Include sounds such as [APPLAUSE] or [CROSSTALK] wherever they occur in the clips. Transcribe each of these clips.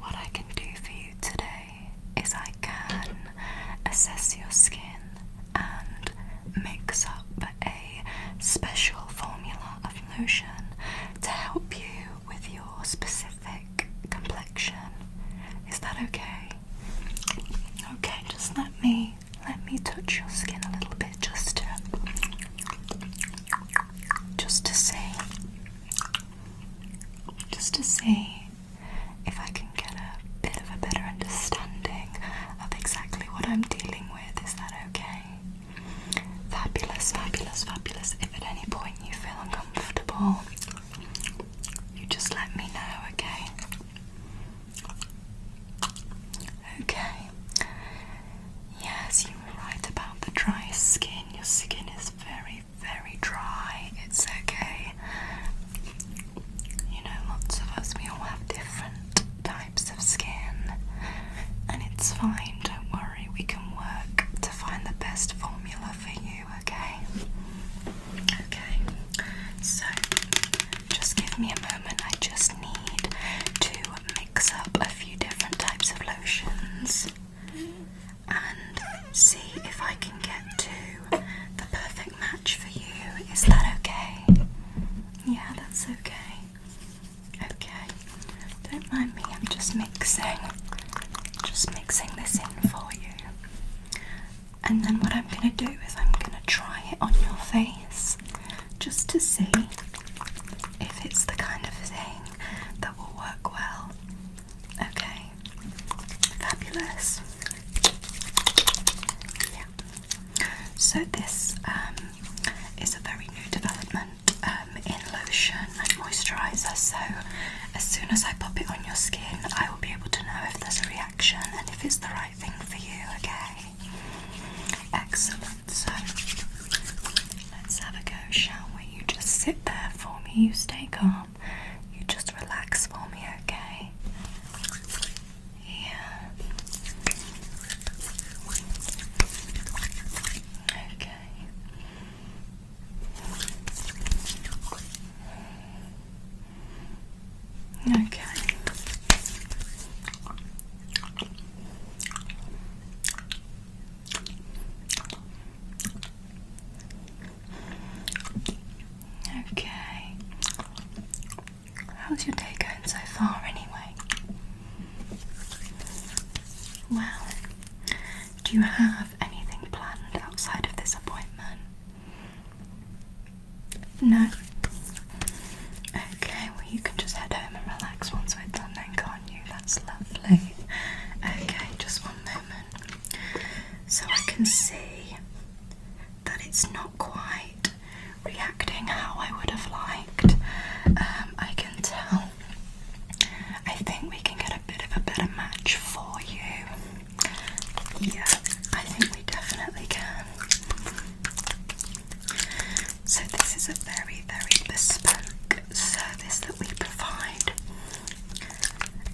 What I can do for you today is I can assess your skin and mix up a special formula of lotion to help you with your specific complexion. Is that okay? Okay, just let me let me touch your skin a little bit just to just to see just to see if I can get a bit of a better understanding of exactly what I'm dealing with. Is that okay? Fabulous, fabulous, fabulous. If at any point you feel uncomfortable, you just let me know, okay? Okay. Yes, you were right about the dry skin. Your skin is very, very dry. It's okay. You know, lots of us, we all have different types of skin. And it's fine, don't worry. We can work to find the best formula for you, okay? Okay, so just give me a moment. I just need to mix up a few different types of lotions and see if I can get to the perfect match for you. Is that okay? Yeah, that's okay. Okay. Don't mind me, I'm just mixing. Just mixing this in for you. And then what I'm going to do is I'm going to try it on your face just to see if it's the kind of thing that will work well. Okay, fabulous. Yeah. So this um, is a very new development um, in lotion and moisturiser. So as soon as I pop it on your skin, I will be able to know if there's a reaction and if it's the right thing for you. Okay. Excellent. So uh, let's have a go, shall we? You just sit there for me, you stay calm, you just relax for me, okay? Yeah. Okay. Okay. Okay. How's your day going so far, anyway? Well, do you have anything planned outside of this appointment? No? Okay, well, you can just head home and relax once we're done, then, go. not that's lovely. Okay, just one moment. So I can see that it's not quite reacting how I would have liked. Um, I can tell. I think we can get a bit of a better match for you. Yeah, I think we definitely can. So, this is a very, very bespoke service that we provide,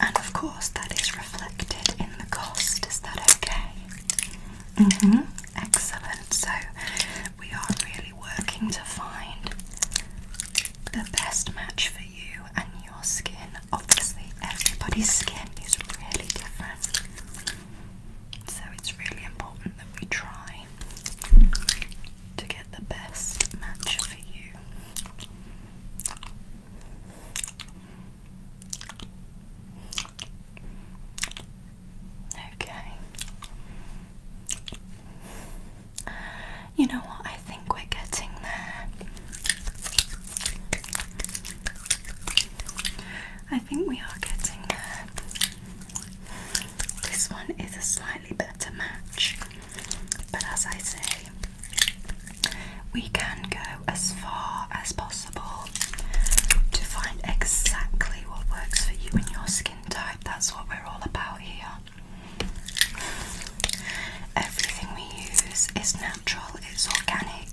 and of course, that is reflected in the cost. Is that okay? Mm hmm. Excellent. So, we are really working to find the best match for you and your skin. Obviously, everybody's skin is really different. So, it's really important that we try to get the best match for you. Okay. You know what? I think we're getting there. I think we are getting there. This one is a slightly better match, but as I say, we can go as far as possible to find exactly what works for you and your skin type. That's what we're all about here. Everything we use is natural, it's organic.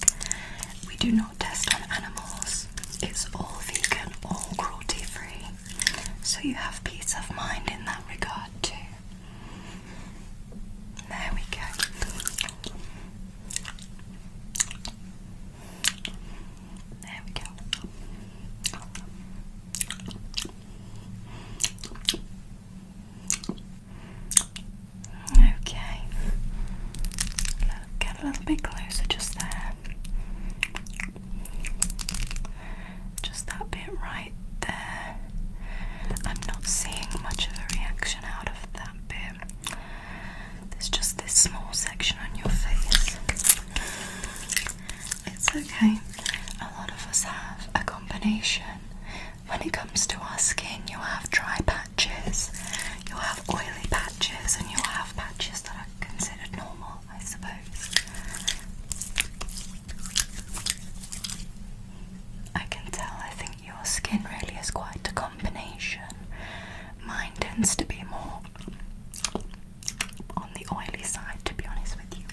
We do not test on animals. It's all vegan, all cruelty free. So you have peace of mind in that regard too. There we go. There we go. Okay. Look, get a little bit closer just there. Just that bit right there. I'm not seeing much of a reaction out of that bit. There's just this small section on your face. It's okay. A lot of us have a combination. When it comes to our skin, you have dry patches, you have oily patches, and you'll have patches that are considered normal. I suppose. I can tell, I think your skin really is quite a combination. Mine tends to be more on the oily side, to be honest with you.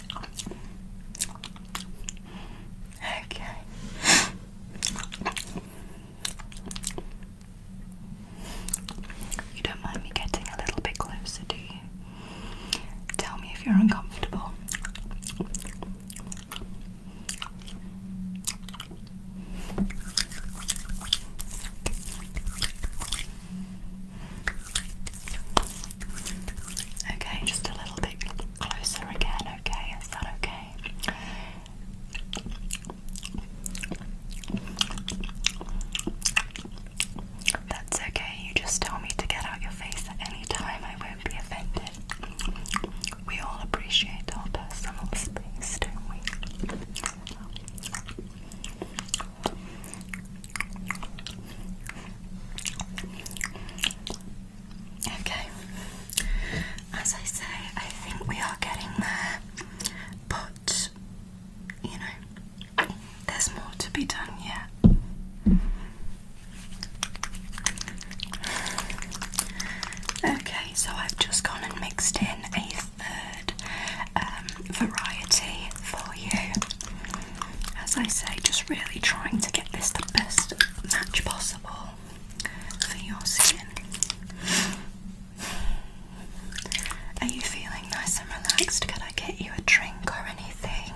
Okay. You don't mind me getting a little bit closer, do you? Tell me if you're uncomfortable. Okay, just a little bit closer again, okay? Is that okay? That's okay, you just tell me to get out your face at any time, I won't be offended. We all appreciate our personal space, don't we? Okay, as I say, I think we are getting there, but you know, there's more to be done yet. Okay, so I've just gone and mixed in a third um, variety for you. As I say, just really trying to get this the best match possible for your skin. Are you feeling nice and relaxed? Can I get you a drink or anything?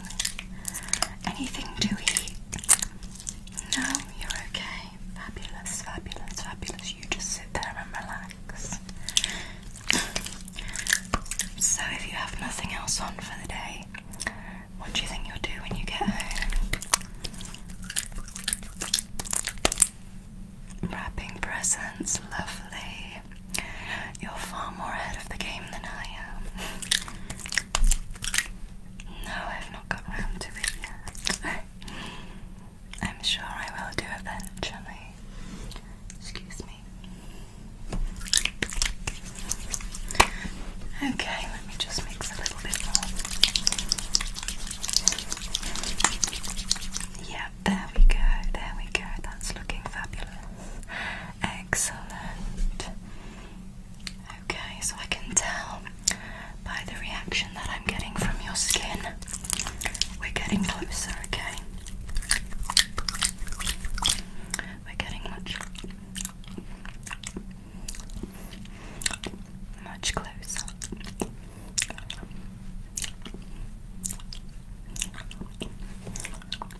Anything to eat? No, you're okay. Fabulous, fabulous, fabulous. You just sit there and relax. [CLEARS THROAT] So, if you have nothing else on for the day, what do you think you'll do when you get home? Wrapping presents, lovely. You're far more ahead of the game than I am. No, I've not got round to it yet. [LAUGHS] I'm sure I will do eventually. Excuse me. Okay, let me just mix a little bit more. Yeah, there we go, there we go, that's looking fabulous. Excellent. Okay, so I can tell by the reaction that I'm getting from your skin, we're getting closer, okay? We're getting much, much closer. Okay,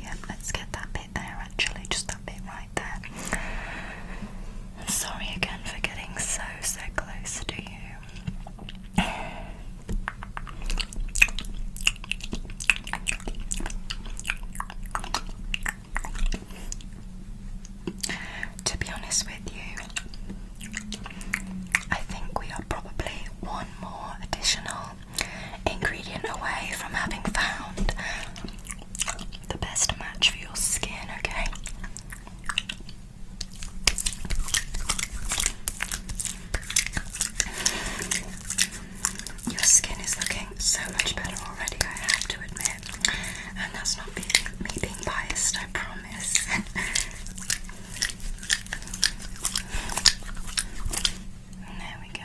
yeah, let's get that bit there actually, just that bit right there. Sorry again for getting so, so close to you. To be honest with you, I think we are probably one more additional ingredient away from having found the best match for your skin, okay? Your skin is looking so much better already, I have to admit. And that's not me being biased, I promise. [LAUGHS] there we go.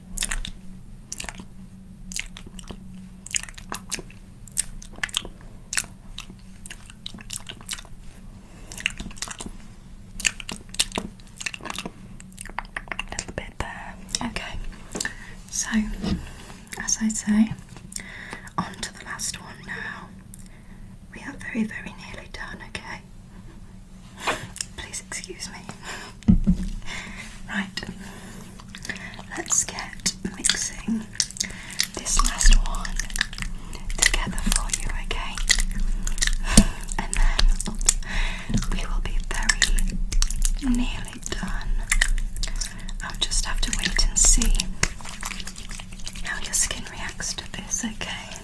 A little bit there. Okay, so as I say, on to the last one now. We are very, very nearly done, okay? Please excuse me. Right, let's get mixing this last one together for you, okay? And then we will be nearly done. I'll just have to wait and see how your skin reacts to this, okay?